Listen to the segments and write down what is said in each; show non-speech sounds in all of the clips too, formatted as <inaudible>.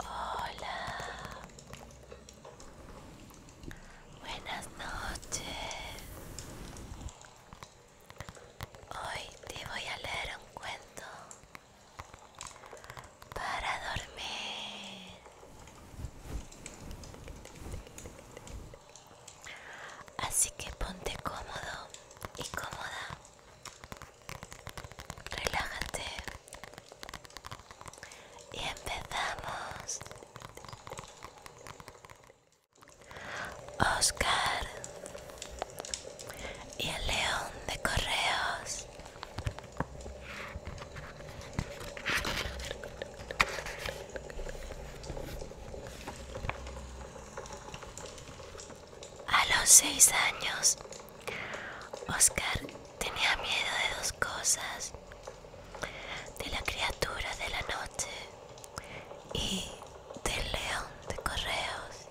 Hola. Buenas noches. Hoy te voy a leer un cuento para dormir. Así que ponte cómodo y cómoda. Relájate. Y empezamos. Oscar y el león de correos. A los seis años, Oscar tenía miedo de dos cosas, de la criatura de la noche y del león de correos.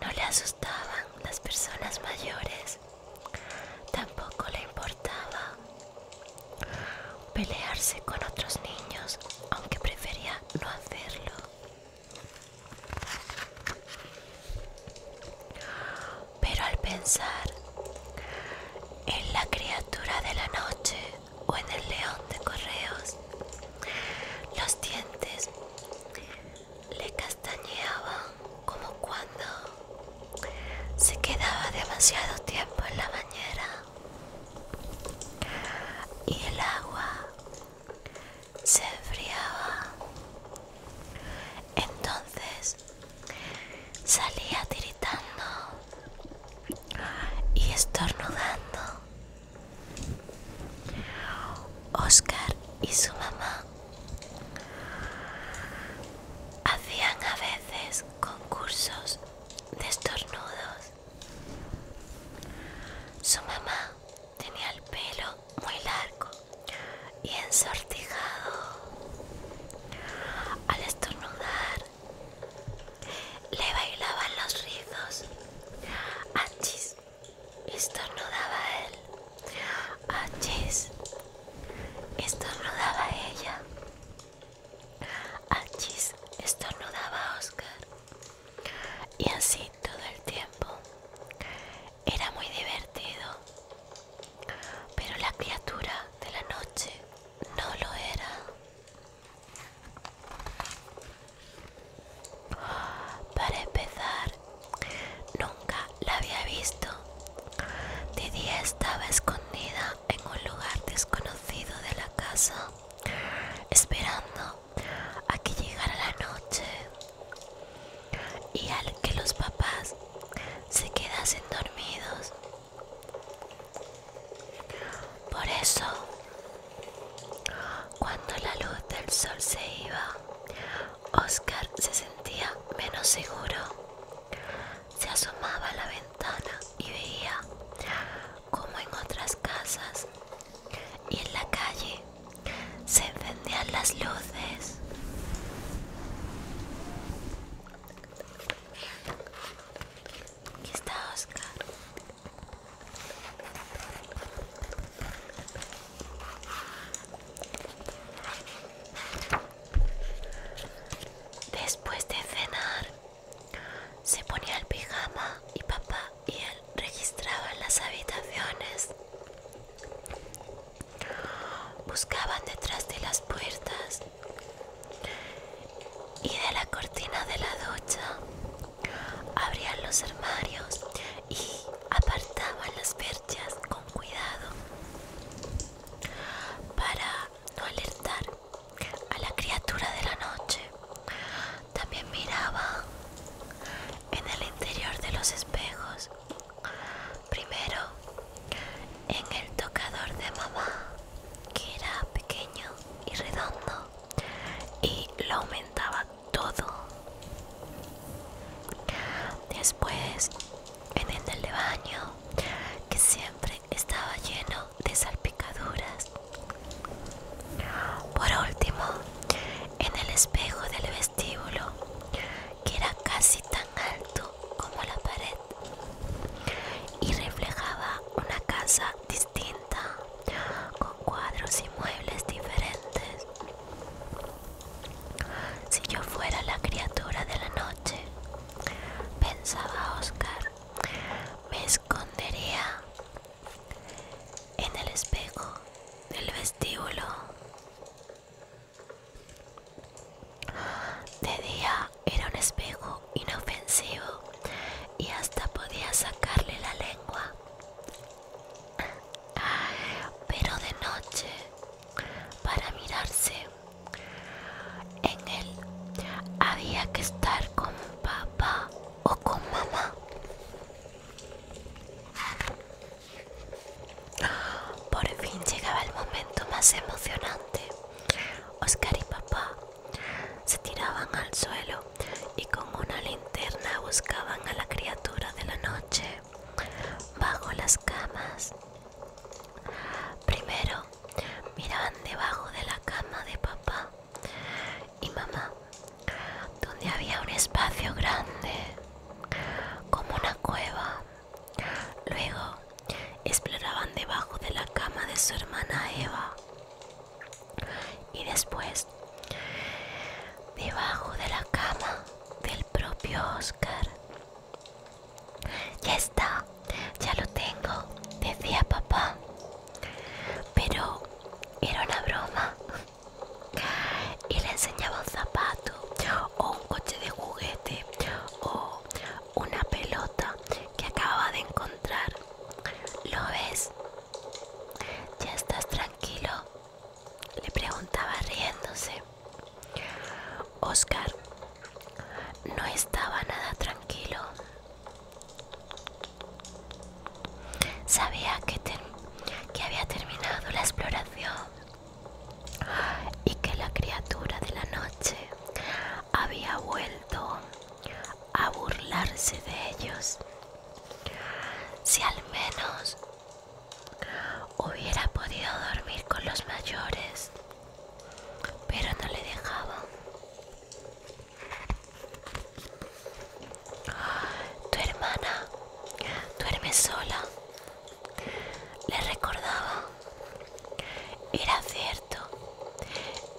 No le asustaban las personas mayores, tampoco le importaba pelearse con otros niños, aunque prefería no hacerlo. Pero al pensar en la criatura de la noche o en el león de correos, los dientes le castañeaban como cuando se quedaba demasiado tiempo en la bañera y el agua se enfriaba. Entonces salía tiritando y estornudando. Oscar y su mamá hacían a veces concursos de estornudos su mamá tenía el pelo muy largo y ensortijado. Al estornudar, le bailaban los rizos. Achis, estornudaba él. Achis, estornudaba ella. Achis estornudaba a Oscar. Y así todo el tiempo. Era muy divertido. Pero la criatura de la noche no lo era. Para empezar, nunca la había visto. De día estaba escondida en un lugar desconocido de la casa esperando a que llegara la noche y al que los papás se quedasen dormidos. Por eso, cuando la luz del sol se iba, Oscar se sentía menos seguro. Se asomaba a la ventana y veía como en otras casas y en la calle se encendían las luces. Aquí está Oscar. Después de cenar, se ponía el pijama y papá y él registraban las habitaciones. Buscaban detrás de las puertas y de la cortina de la ducha. Abrían los armarios y apartaban las perchas con cuidado para no alertar a la criatura de la noche. También miraba en el interior de los espejos. Primero en el tocador de mamá, que era pequeño y redondo, y lo aumentaba todo. Después en el de baño, que se estaba lleno de salpicaduras. Por último, en el espejo del vestíbulo, que era casi tan alto como la pared, y reflejaba una casa distinta, con cuadros y muebles diferentes. Si yo fuera la criatura de la noche, pensaba Oscar, me escondería en el espejo del vestíbulo. De día era un espejo inofensivo y hasta podía sacarle la lengua. Pero de noche, para mirarse, en él. Había que estar con papá o con mamá. Por fin llegaba el momento más emocionante. Oscar y papá se tiraban al suelo y con una linterna buscaban a la criatura de la noche bajo las camas. Primero miraban debajo de la cama de papá y mamá, donde había un espacio grande, como una cueva. Luego exploraban debajo de la cama de su hermana Eva y después debajo de la cama del propio Oscar. Ya está, ya lo tengo, decía papá. Pero era una broma. Y le enseñaba un zapato, o un coche de juguete, o una pelota que acababa de encontrar. ¿Lo ves? ¿Ya estás tranquilo? Le preguntaba riéndose. Oscar no estaba nada tranquilo. Sabía que, había terminado la exploración y que la criatura de la noche había vuelto a burlarse de ellos. Si al menos hubiera podido dormir con los mayores, pero no le dejaban. Tu hermana duerme sola, le recordaba. Era cierto,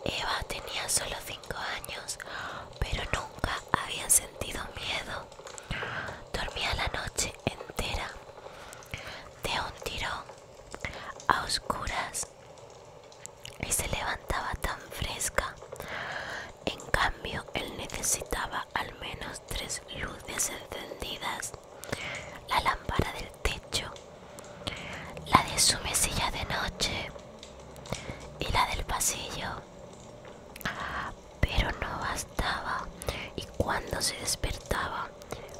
Eva tenía solo cinco años, pero nunca había sentido miedo. Dormía la noche entera, de un tirón, a oscuras y se levantaba tan fresca. En cambio, él necesitaba al menos tres luces encendidas, la lámpara del techo, la de su mesilla de noche y la del pasillo. Pero no bastaba y cuando se despertaba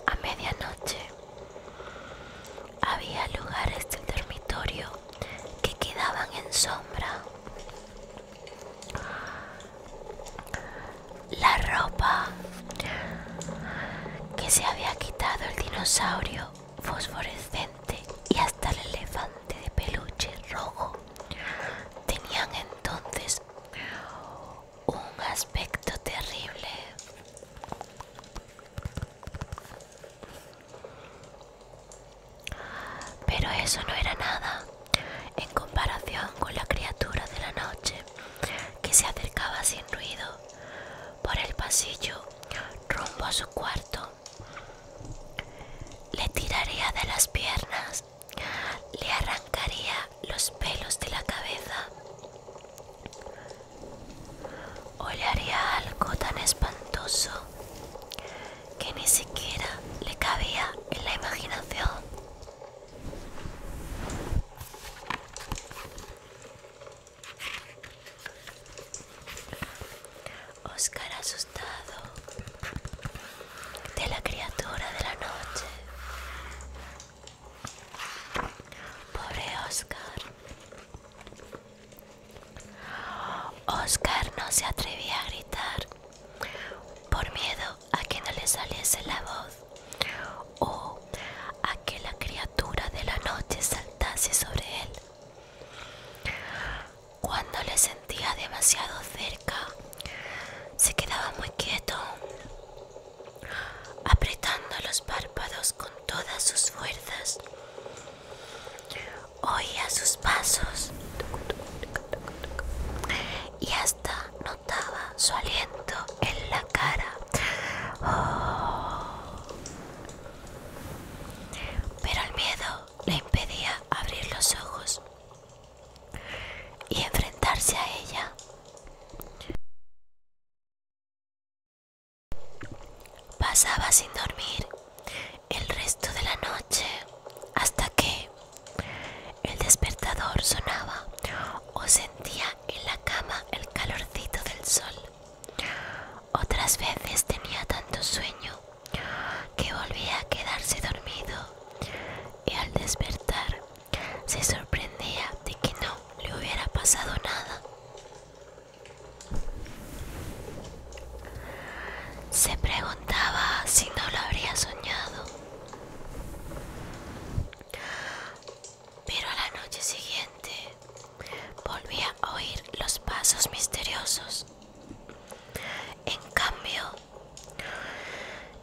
a medianoche había lugares del dormitorio que quedaban en sombra. La ropa que se había quitado el dinosaurio fosforescente y hasta el elefante de peluche rojo tenían entonces un aspecto terrible. Pero eso no era nada en comparación con la criatura de la noche que se acercaba sin ruido por el pasillo rumbo a su cuarto. Le tiraría de las piernas, le arrancaría los pelos de la cabeza Hoy le haría algo tan espantoso que ni siquiera le cabía en la imaginación. Oscar asustado de la criatura de la noche. Pobre Oscar. Oscar no se atrevía a gritar por miedo a que no le saliese la voz o a que la criatura de la noche saltase sobre él. Cuando le sentía demasiado cerca, se quedaba muy quieto, apretando los párpados todas sus fuerzas. Oía sus pasos y hasta notaba su aliento en la cara. Pero el miedo le impedía abrir los ojos y enfrentarse a ella. Pasaba sin dormir el resto de la noche hasta que el despertador sonaba o sentía en la cama el calorcito del sol. Otras veces tenía tanto sueño que volvía a quedarse dormido y al despertar se sorprendía de que no le hubiera pasado nada. Se preguntaba si no lo habría soñado. Pero a la noche siguiente volvía a oír los pasos misteriosos. En cambio,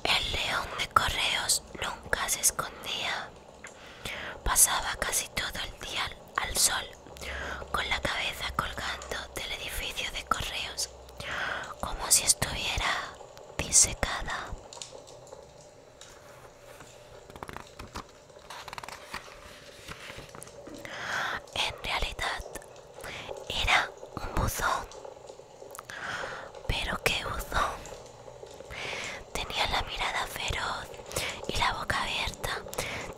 el león de correos nunca se escondía. Pasaba casi todo el día al sol, con la cabeza colgando del edificio de correos, como si estuviera disecada. En realidad era un buzón. Pero qué buzón. Tenía la mirada feroz y la boca abierta,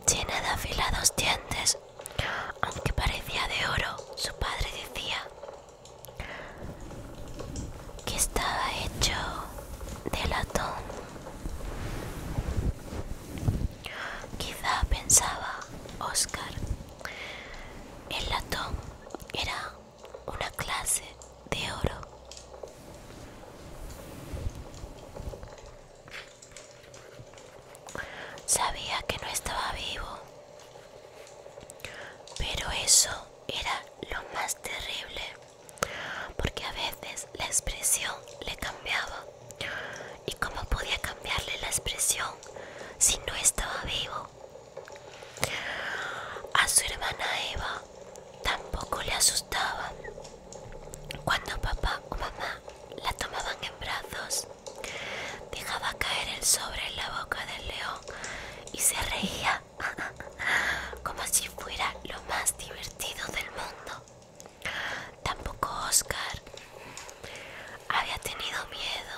llena de afilados dientes. Aunque parecía de oro, su padre decía que estaba hecho de latón. Quizá pensaba Oscar, el latón era una clase de oro. Sabía que no estaba vivo, pero eso era lo más terrible, porque a veces la expresión le cambiaba. ¿Y cómo podía cambiarle la expresión si no estaba vivo? A su hermana Eva Tampoco le asustaba cuando papá o mamá la tomaban en brazos. Dejaba caer el sobre en la boca del león y se reía <laughs> como si fuera lo más divertido del mundo. Tampoco Oscar había tenido miedo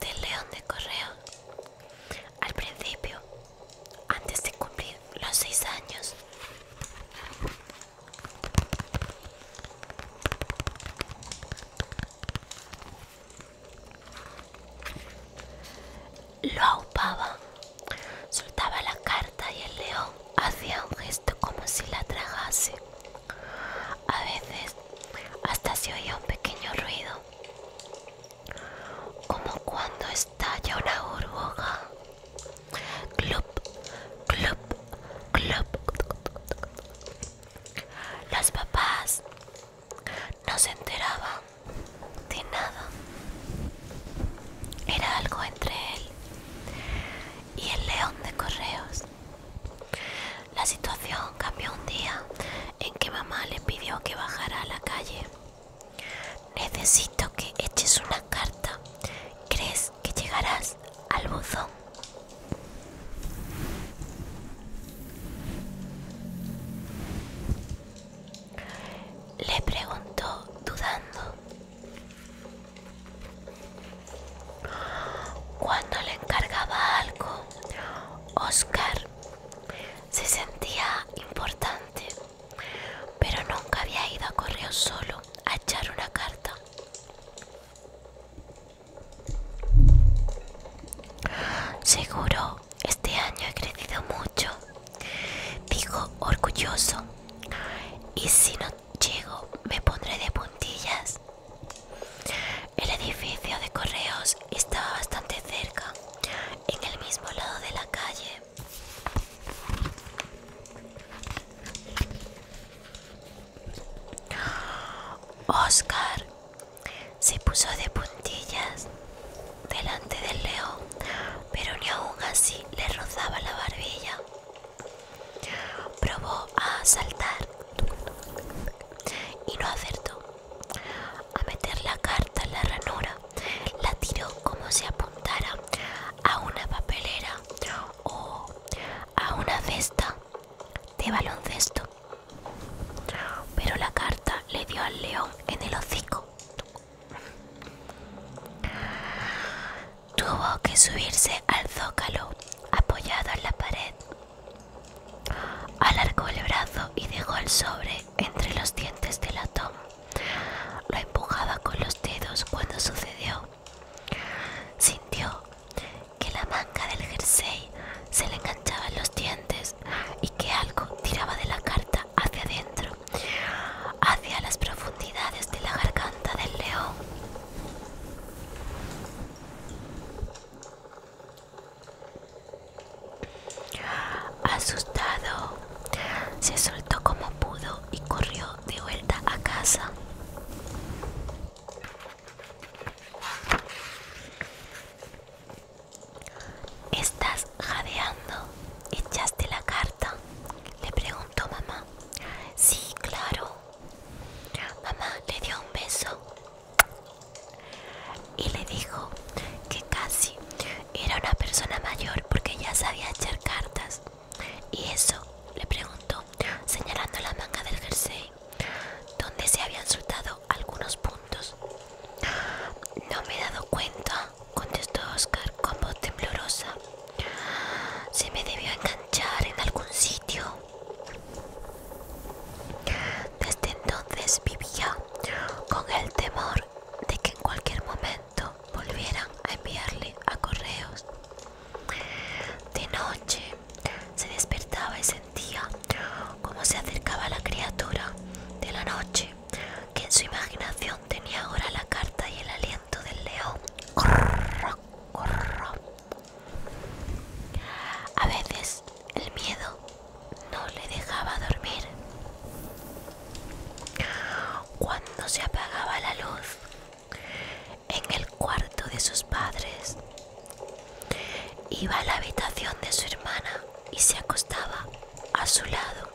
del león de correo. Al principio antes de cumplir los seis años. Lo aupaba, soltaba la carta y el león hacía un gesto como si la trajase A veces hasta se oía un pequeño ruido como cuando estalla una burbuja. Club, Los papás no se enteraban de nada. Era algo entre él y el león de correos. La situación cambió un día en que mamá le pidió que bajara a la calle Necesito que eches una carta. ¿Crees que llegarás al buzón? Le preguntó dudando. Cuando le encargaba algo, Oscar se sentía importante pero nunca había ido a Correos solo a echar una carta. Seguro, este año he crecido mucho, dijo orgulloso, y si no llego me pondré de puntillas. El edificio de correos estaba bastante cerca, en el mismo lado de la calle. Oscar se puso de puntillas delante del león, pero ni aún así le rozaba la barbilla. Probó a saltar y no acertó, a meter la carta en la ranura la tiró como si apuntara a una papelera o a una cesta de baloncesto. Pero la carta le dio al león en el hocico. Tuvo que subirse al zócalo apoyado en la pared. Alargó el brazo y dejó el sobre entre los dientes del latón. Lo empujaba con los dedos cuando sucedió. Sintió que la manga del jersey se le enganchaba en los dientes y que algo tiraba de la carta hacia adentro, hacia las profundidades de la garganta del león. Asustado, se soltó como pudo y corrió de vuelta a casa. ¿Estás jadeando? ¿Echaste la carta? Le preguntó mamá. Sí, claro. Mamá le dio un beso y le dijo que casi era una persona mayor porque ya sabía echar cartas. ¿Y eso? le preguntó, señalando la manga del jersey, donde se habían soltado algunos puntos. No me he dado cuenta, contestó Oscar con voz temblorosa. Se me debió enganchar en algún sitio. Desde entonces vivía con el temor de que en cualquier momento volvieran a enviarle a correos. De noche se despertaba y sentía cómo se acercaba la criatura de la noche, que en su imaginación tenía ahora la carta y el aliento del león. A veces el miedo no le dejaba dormir. Cuando se apagaba la luz en el cuarto de sus padres, iba a la habitación de su hermana y se acostaba a su lado.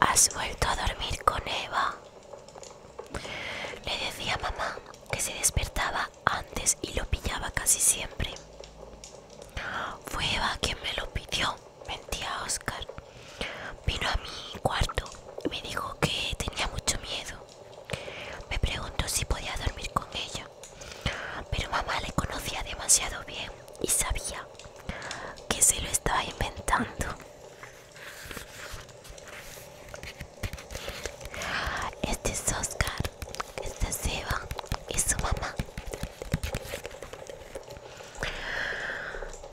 ¿Has vuelto a dormir con Eva? Le decía a mamá que se despertaba antes y lo pillaba casi siempre. Fue Eva quien me lo pidió, mentía Oscar. Vino a mi cuarto y me dijo que tenía mucho miedo. Me preguntó si podía dormir con ella, pero mamá le conocía demasiado bien y sabía que se lo estaba inventando. Este es Oscar, esta es Eva y su mamá.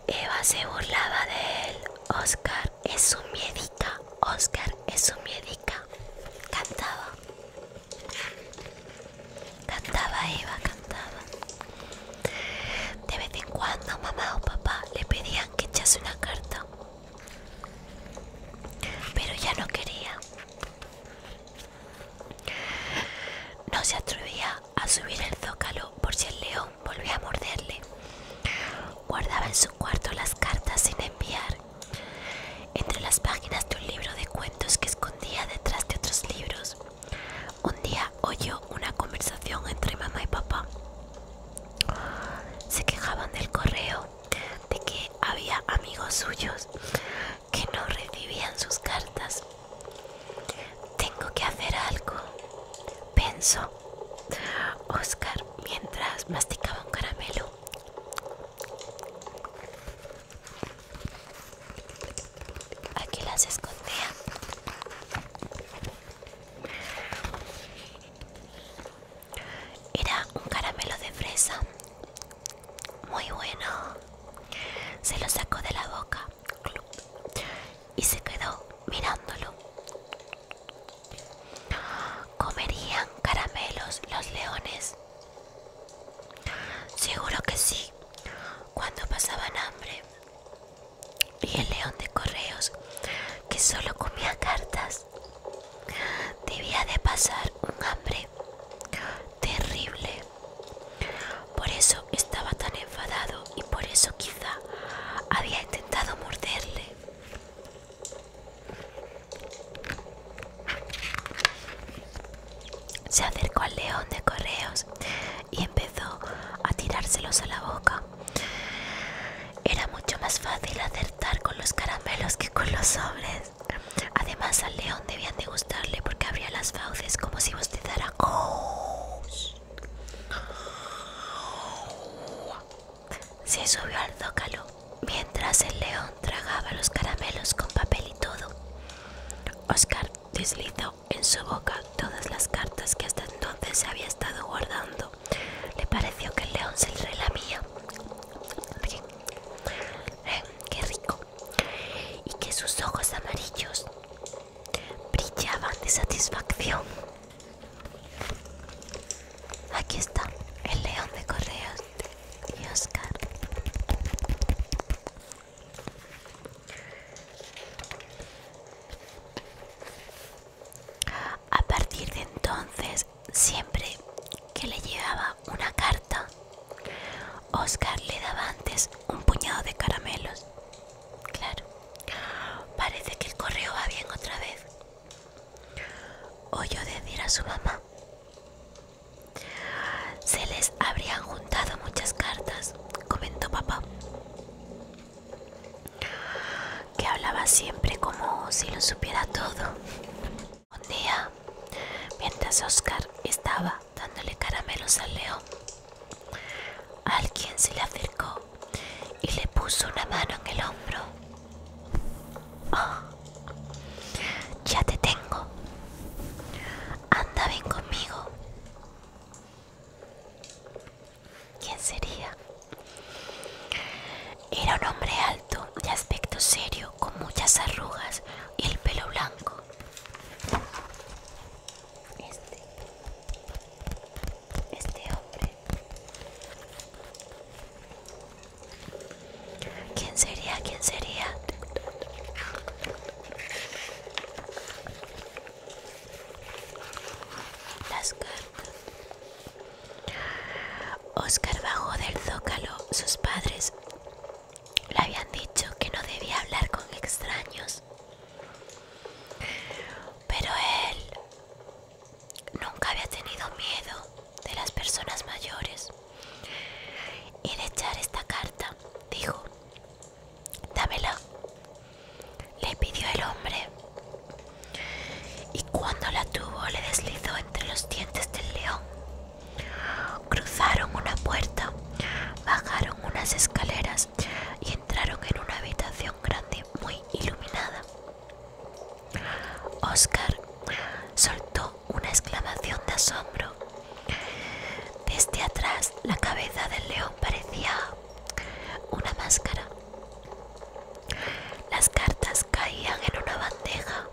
Eva se burlaba de él. Oscar es su médica, Oscar es su médica Cantaba. Cantaba Eva, cantaba. De vez en cuando mamá o papá le pedían que echase una carta, pero ya no quería. No se atrevía a subir el zócalo por si el león volvía a morderle. Guardaba en su cuarto las cartas sin enviar, entre las páginas de un libro de cuentos que escondía detrás de otros libros. Un día oyó una conversación entre mamá y papá. Se quejaban del correo, de que había amigos suyos que no recibían sus cartas. Tengo que hacer algo, pensó Oscar mientras masticaba un caramelo. Aquí las escondía. Era un caramelo de fresa. Muy bueno. Se lo sacó de la boca y se quedó mirándolo. ¿Comerían caramelos los leones? Seguro que sí, cuando pasaban hambre y el león de correos que solo comía cartas debía de pasar un hambre terrible por eso estaba tan enfadado y por eso quizá había intentado morderle se acercó al león de correos y empezó a tirárselos a la boca. Era mucho más fácil acertar con los caramelos que con los sobres. Además al león debían de gustarle porque abría las fauces como si bostezara. Se subió al zócalo mientras el león tragaba los caramelos con papel y todo. Oscar deslizó en su boca todas las cartas que hasta entonces se había estado guardando. Le pareció que el león se le lamía. Eh, ¡Qué rico! Y que sus ojos amarillos brillaban de satisfacción. Aquí está el león de correos y Oscar. A partir de entonces, siempre que le llevaba una carta, Oscar le daba antes un puñado de caramelos. Claro, parece que el correo va bien otra vez. Oyó decir a su mamá. Se les habrían juntado muchas cartas, comentó papá que hablaba siempre como si lo supiera todo. Un día, mientras Oscar estaba dándole caramelos al león, alguien se le acercó y le puso una mano en el hombro. Oh, ya te tengo. Anda, ven conmigo. ¿Quién sería? Era un hombre alto, de aspecto serio, con muchas arrugas y el pelo blanco. Este, este hombre. ¿Quién sería? ¿Quién sería? Las cartas. Oscar bajó del zócalo. Sus padres le habían dicho que no debía hablar con extraños. Pero él nunca había tenido miedo de las personas mayores. Y de echar esta carta, dijo, Dámela, le pidió el hombre. Y cuando la tuvo le deslizó entre los dientes del león. Cruzaron una puerta, bajaron unas escaleras y entraron en una habitación grande muy iluminada. Oscar soltó una exclamación de asombro. Desde atrás la cabeza del león parecía una máscara. Las cartas caían en una bandeja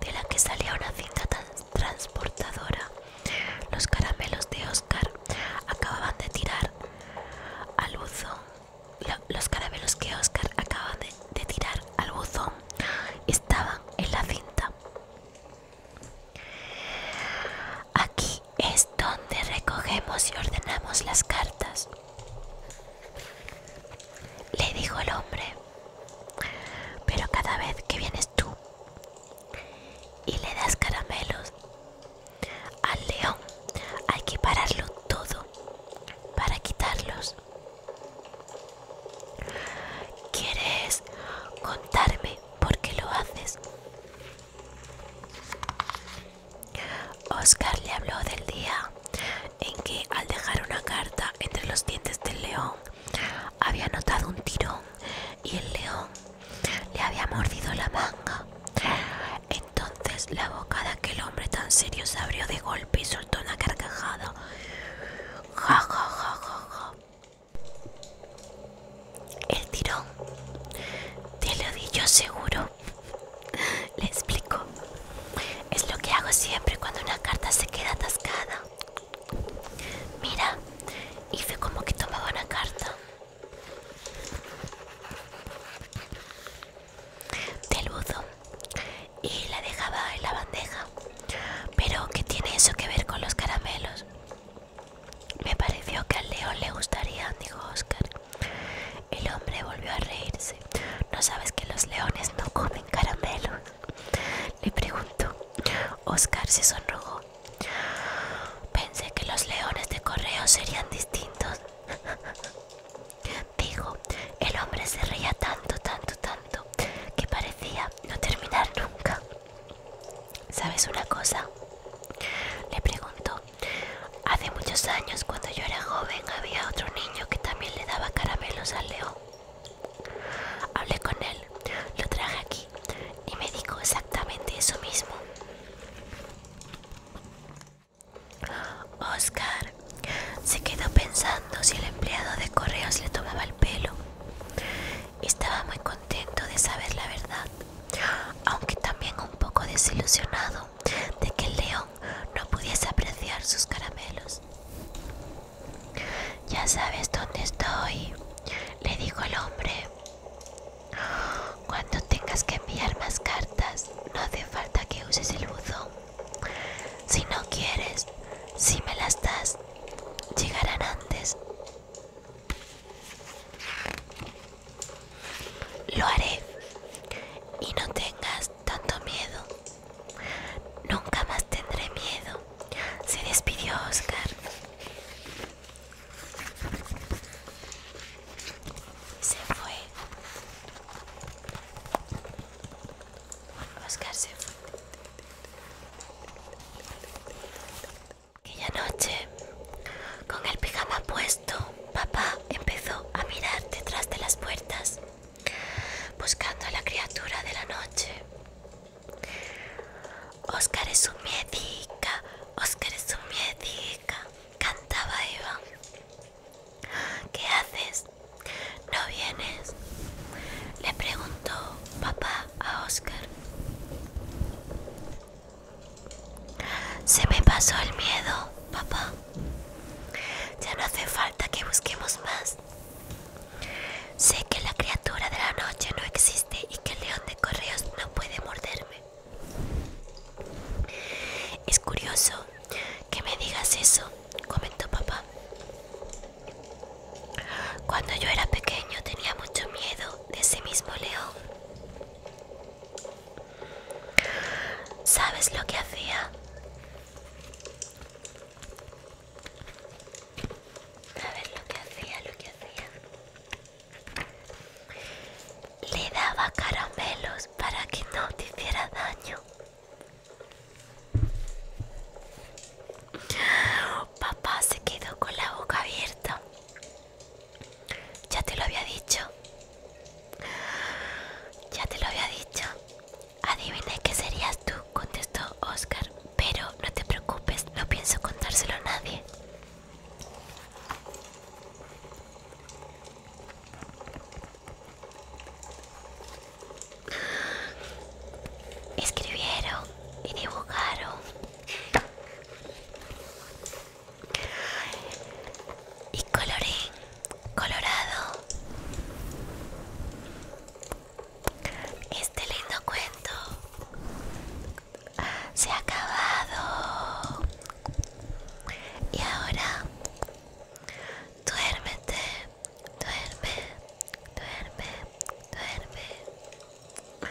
de la que salía una cinta transportadora. Los caramelos de Oscar acababan de tirar al buzón. Los caramelos que Oscar acababa de, de tirar al buzón estaban en la cinta. Aquí es donde recogemos y ordenamos las cartas, le dijo el hombre. Pero cada vez que vienes tú y le das caramelos al león, hay que pararlo todo para quitarlos. ¿Quieres contarme por qué lo haces? Oscar le habló del día en que al dejar una carta entre los dientes del león había notado un tirón y el león le había mordido la manga. Entonces la boca de aquel hombre tan serio se abrió de golpe y soltó una carcajada. Ja, ja, ja, ja, el tirón. Te lo di yo seguro. <laughs> Le explico. Es lo que hago siempre cuando una carta se queda atascada. Mira, hice como que tomaba una carta. Del buzo. Y la dejaba en la bandeja. Pero, ¿qué tiene eso que ver con los caramelos? Me pareció que al león le gustaría, dijo Oscar. El hombre volvió a reírse. ¿No sabes que los leones no comen caramelos? Le preguntó. Oscar se sonrojó. Pensé que los leones de correo serían distintos. <laughs> Dijo, el hombre se reía tanto, tanto, tanto, que parecía no terminar nunca. ¿Sabes una cosa? Le pregunto. Hace muchos años, cuando yo era joven, había otro niño que también le daba caramelos al león. Hablé con él, lo traje aquí y me dijo exactamente eso mismo. Oscar se quedó pensando si el empleado de correos le tomaba el pelo. Estaba muy Intento de saber la verdad, aunque también un poco desilusionado de que el león no pudiese apreciar sus caramelos. Ya sabes dónde estoy, le dijo el hombre. Cuando tengas que enviar más cartas, no hace falta que uses el buzón. Si no quieres, si me las das, llegarán antes. Lo haré y no tengas tanto miedo. Nunca más tendré miedo. Se despidió Oscar. Se fue. Oscar se fue. Aquella noche, con el pijama puesto, papá empezó a mirar detrás de las puertas, buscando a la criatura de la noche. Oscar es un miedica, Oscar es un miedica, cantaba Eva. ¿Qué haces? ¿No vienes? Le preguntó papá a Oscar. Se me pasó el miedo, papá. Ya no hace falta que busquemos más. Sé que la criatura de la noche no existe y que el león de correos no puede morderme. Es curioso que me digas eso, comentó papá. Cuando yo era pequeño tenía mucho miedo de ese mismo león. ¿Sabes lo que hacía? ¿sabes lo que hacía, lo que hacía. Le daba caramelos para que no te hiciera daño. Papá se quedó con la boca abierta. Ya te lo había dicho. Ya te lo había dicho. Adiviné qué serías tú, contestó Oscar. Pero no te preocupes, no pienso contárselo a nadie. Escribieron y dibujaron y coloré, colorado. Este lindo cuento se ha acabado. Y ahora duérmete, duerme, duerme, duerme.